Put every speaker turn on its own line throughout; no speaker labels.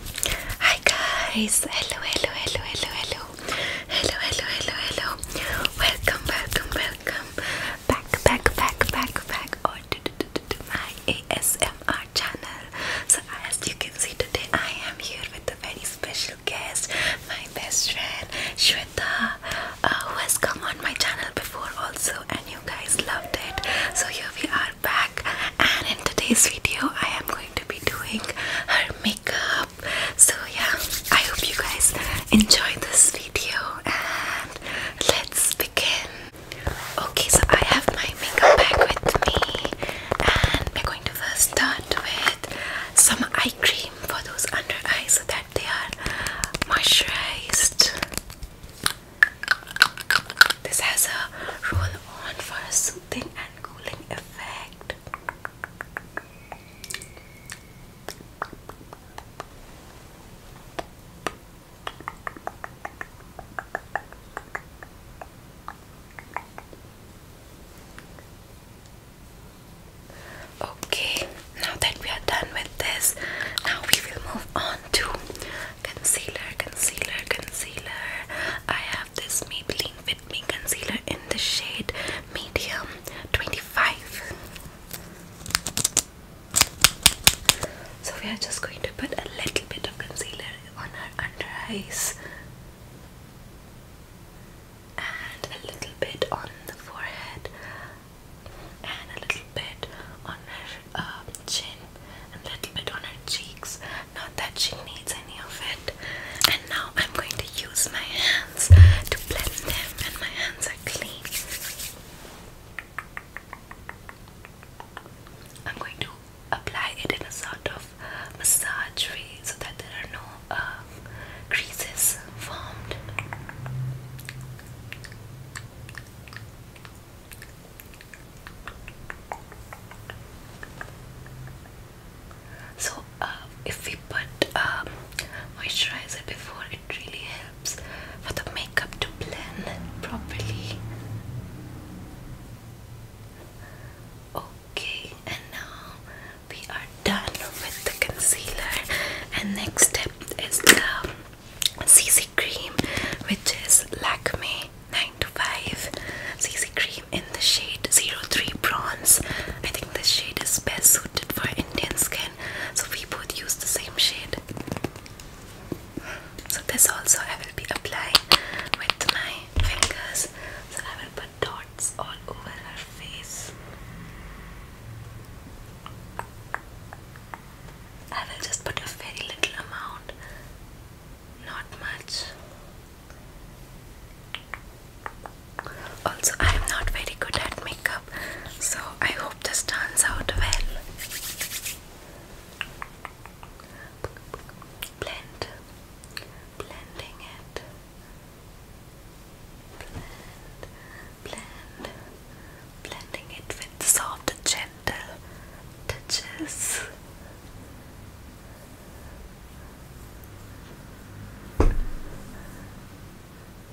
Hi guys! Hello, hello, hello, hello, hello, hello, hello, hello, hello. Welcome, welcome, welcome back, back, back, back, back, or to, to, to, to my ASMR channel. So as you can see today, I am here with a very special guest, my best friend Shweta, uh, who has come on my channel before also, and you guys loved it. So here we are back and in today's video I am going to be doing her makeup so yeah I hope you guys enjoy this video and let's begin okay so I have my makeup bag with me and we're going to first start with some eye cream for those under eyes so that they are moisturized this has a roll on for a soothing cooling effect. Okay, now that we are done with this, now we will move on to Concealer, concealer, concealer. I have this Maybelline Fit Me concealer in the shade medium 25. So we are just going to put a little bit of concealer on her under eyes and a little bit on the forehead and a little bit on her uh, chin and a little bit on her cheeks not that she needs any of it. And now I'm going to use my hands to blend them, and my hands are clean. I'm going to apply it in a sort of massage so that there are no uh, creases formed. So uh, if we put um, moisturizer before, it really helps for the makeup to blend properly. Okay, and now we are done with the concealer, and next step is the CC cream, which is Lakme 9 to 5 CC cream in the shade 03 bronze. I think this shade is best suited for Indian skin, so we both use the same shade. So, this also I will be applying with my fingers. So, I will put dots all over her face. I will just put a very little amount not much. Also, I am not very good at makeup, so I hope this turns out well. Blend, blending it. Blend, blending it with soft, gentle touches.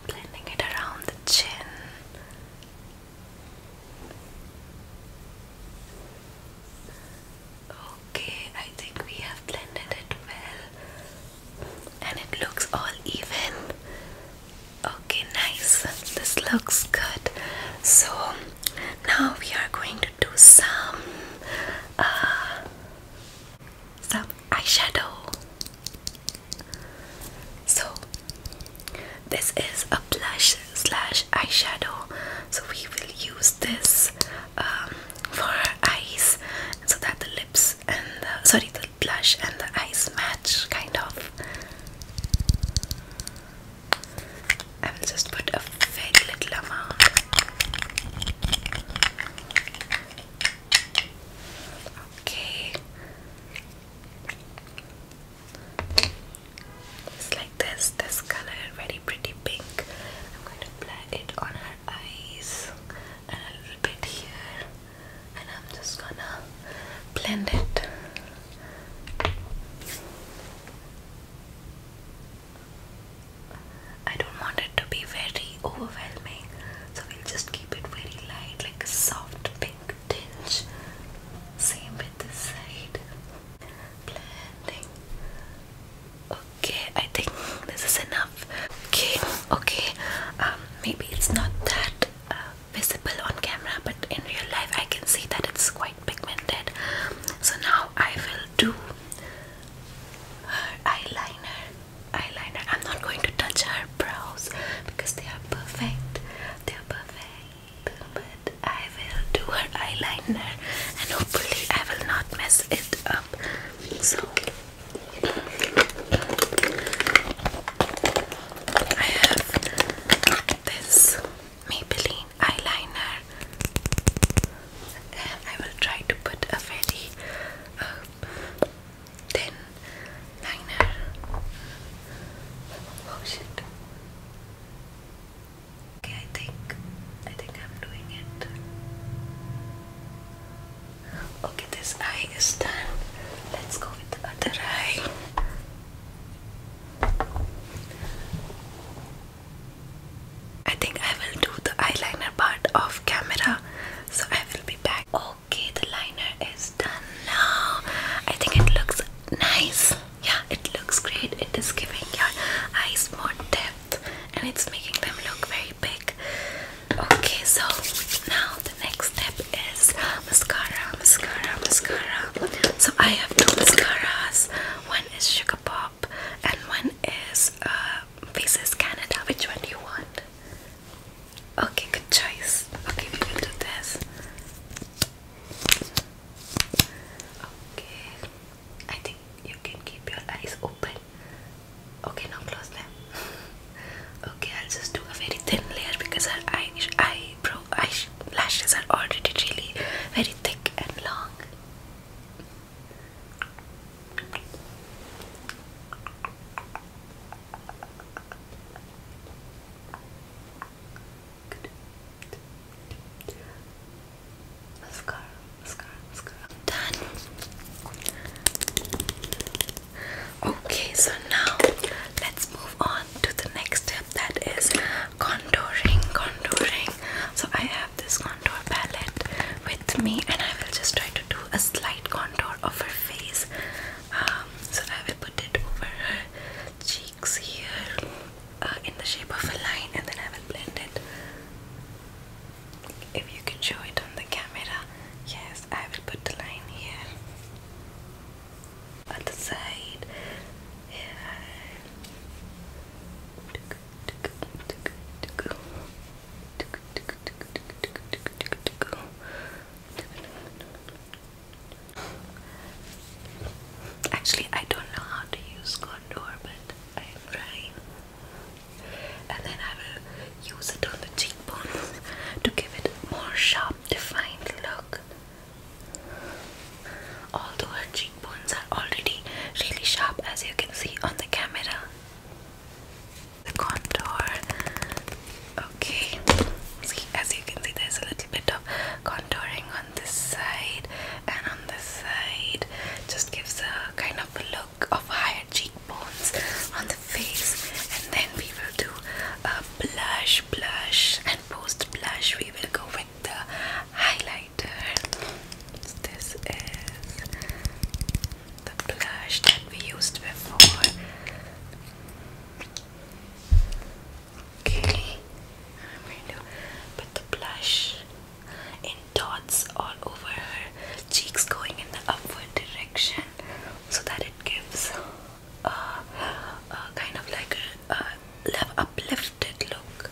Blending it around the chin. Okay, I think we have blended it well and it looks all even. Okay, nice. This looks good. So, now we are going to do some uh, some eyeshadow. So this is a blush slash eyeshadow. So we will use this um, for our eyes, so that the lips and sorry the blush and the eyes match, kind of. I will just put a very little amount. Okay. It's like this, this color, very pretty pink. I'm going to apply it on her eyes a little bit here, and I'm just gonna blend it. I don't want it to be very overwhelming, so we'll just keep it very light, like a soft pink tinge. Same with the side. Blending. Okay, I think this is enough. Okay, okay. Um, maybe it's not that uh, visible on camera, but in real life, I can see that it's quite pigmented. So now I will do her eyeliner eyeliner I'm not going to touch her brows because they are perfect they are perfect but I will do her eyeliner and hopefully I will not mess it up so I have this Maybelline eyeliner I will try to put a very uh, thin liner oh shit okay I think I think I'm doing it okay this eye is done let's go with the other eye I think I will do the eyeliner part off camera, so I will be back. Okay, the liner is done now. I think it looks nice. Yeah, it looks great. It is giving your eyes more depth and it's making them look very big. Okay, so now the next step is mascara, mascara, mascara. So I have two mascaras. One is Sugar Pop and one is uh, Canada. Which one do you want? Okay, good choice. Okay, we will do this. Okay, I think you can keep your eyes open. Okay, now close them. okay, I'll just do a very thin layer because her eye, eyebrow eyelashes are already really very thick and long. Good. Mascara, mascara, mascara. Done. Okay, so now let's move on to the next step that is contouring, contouring. So I have this contour palette with me, and I will just try to do a slight contour of her face. Um, so I will put it over her cheeks here uh, in the shape of a line, and then I will blend it. If you can show it on the camera, yes, I will put the line here. Other side, here. Actually, I don't know how to use contour, but I'm trying. And then I will use it on the cheekbones to give it a more sharp, defined look although her cheekbones are already really sharp as you can see on the camera. The contour, okay. See, as you can see, there's a little bit of contouring on this side and on this side, just gives a kind of look of higher cheekbones on the face, and then we will do a blush, blush, and post blush. We will go the highlighter. This is the blush that we used before. Okay, I'm going to put the blush in dots all over her cheeks, going in the upward direction, so that it gives a, kind of like a uplifted look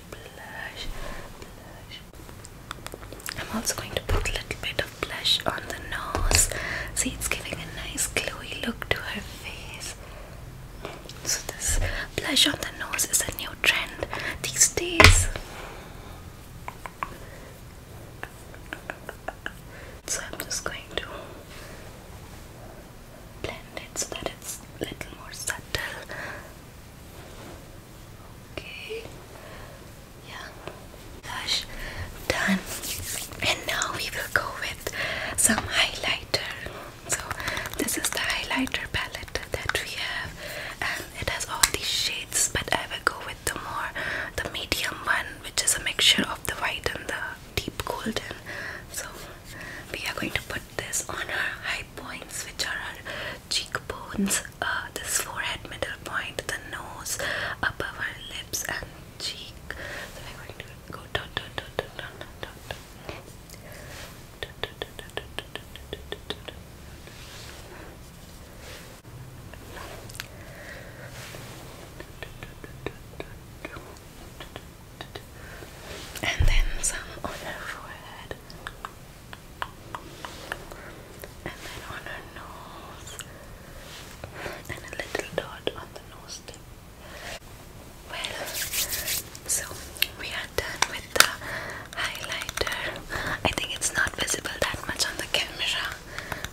blush, I'm also going to put a little bit of blush on the nose. See, it's giving a nice glowy look to her face. So, this blush on the nose is a new trend these days. So, I'm just going to blend it so that it's a little more subtle. Okay. Yeah. done. And now we will go with some highlighter. So this is the highlighter palette that we have, and it has all these shades. But I will go with the more the medium one, which is a mixture of the white and the deep golden. So we are going to put this on our high points, which are our cheekbones this forehead middle point, the nose, above her lips and cheek. So we're going to go dot dot dot dot dot dot dot. And then some on her forehead and then on her nose, and a little dot on the nose tip. Well, so we are done with the highlighter. I think it's not visible that much on the camera,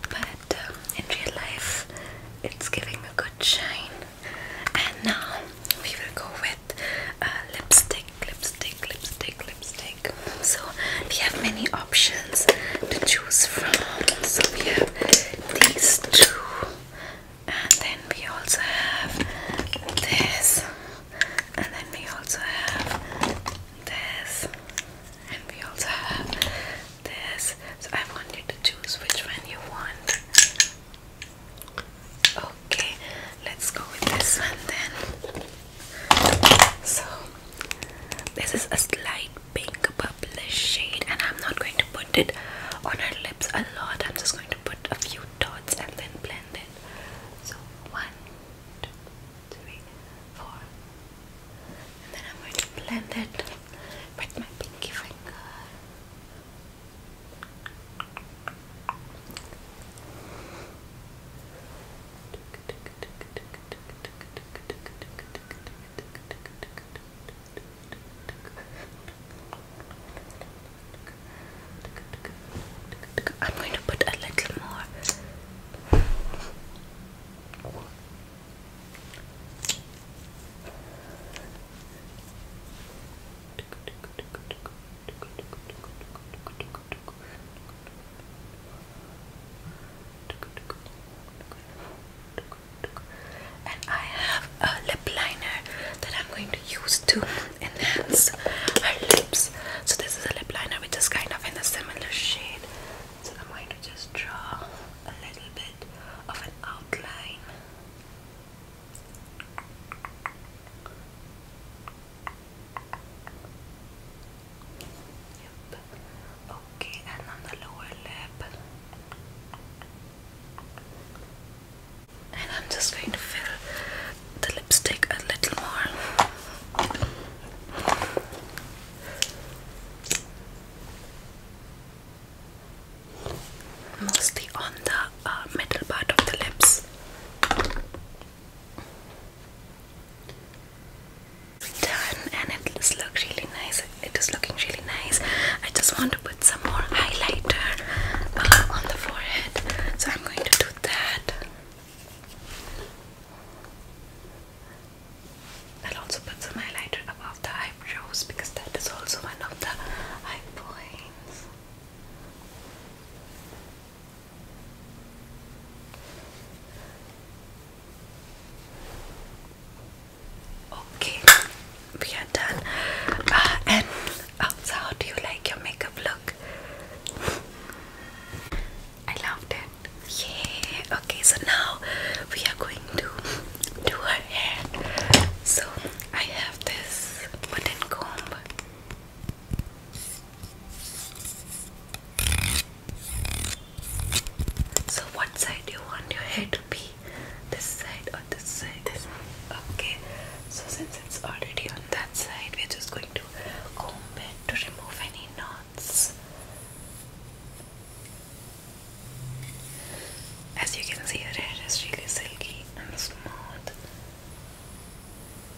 but um, in real life, it's giving a good shine. And now we will go with uh, lipstick lipstick, lipstick, lipstick. So we have many options to choose from. So we have these two, and then we also have this, and then we also have this, and we also have this. So I want you to choose which one you want. Okay, let's go with this one then. So this is a slight pink purple shade and I'm not going to put it on her lips a lot. I'm just going to put a few dots and then blend it. So one, two, three, four. And then I'm going to blend it with my pinky finger. I'm going to put a little more. And I have a lip liner that I'm going to use to enhance her lips. So this is a lip liner which is kind of in a similar shade. So I'm going to just draw a little bit of an outline. Okay, and on the lower lip. And I'm just going to fill the lipstick a little more. Mostly on the uh, middle part of the lips done and it does really nice it is looking really nice I just want to put some more highlighter uh, on the forehead so I'm going to do that I'll also put some highlighter above the eyebrows because that is also one of the high points Okay, we are done. Uh, and oh, so, how do you like your makeup look? I loved it. Yeah. Okay, so now we are going to do our hair. So I have this wooden comb. So, what side do you want your hair to be? This side or this side? Okay. So, since it's already on that side, we're just going to comb it to remove any knots. As you can see, her hair is really silky and smooth.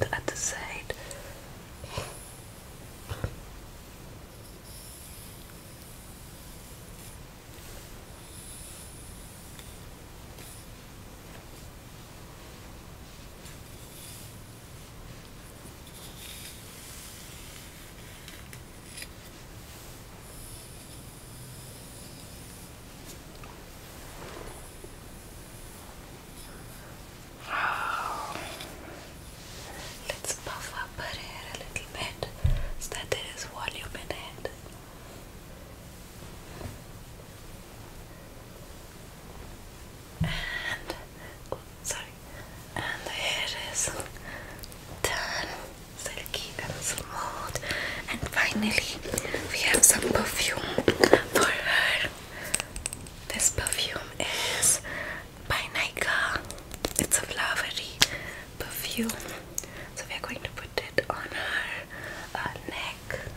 and at the side. Oh. Let's puff up her hair a little bit so that there is volume in it and oh, sorry, and the hair is silky and smooth. And finally, we have some perfume for her. This perfume is by Nika. It's a flowery perfume, so we are going to put it on her uh, neck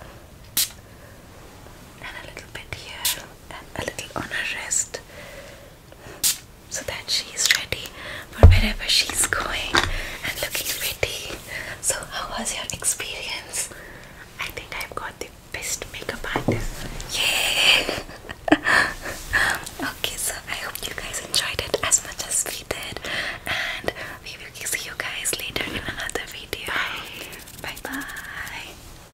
and a little bit here and a little on her wrist so that she is ready for wherever she's going and looking pretty. So, how was your experience? I think I've got the best makeup artist. Yay! okay, so I hope you guys enjoyed it as much as we did, and we will see you guys later in another video. bye. bye.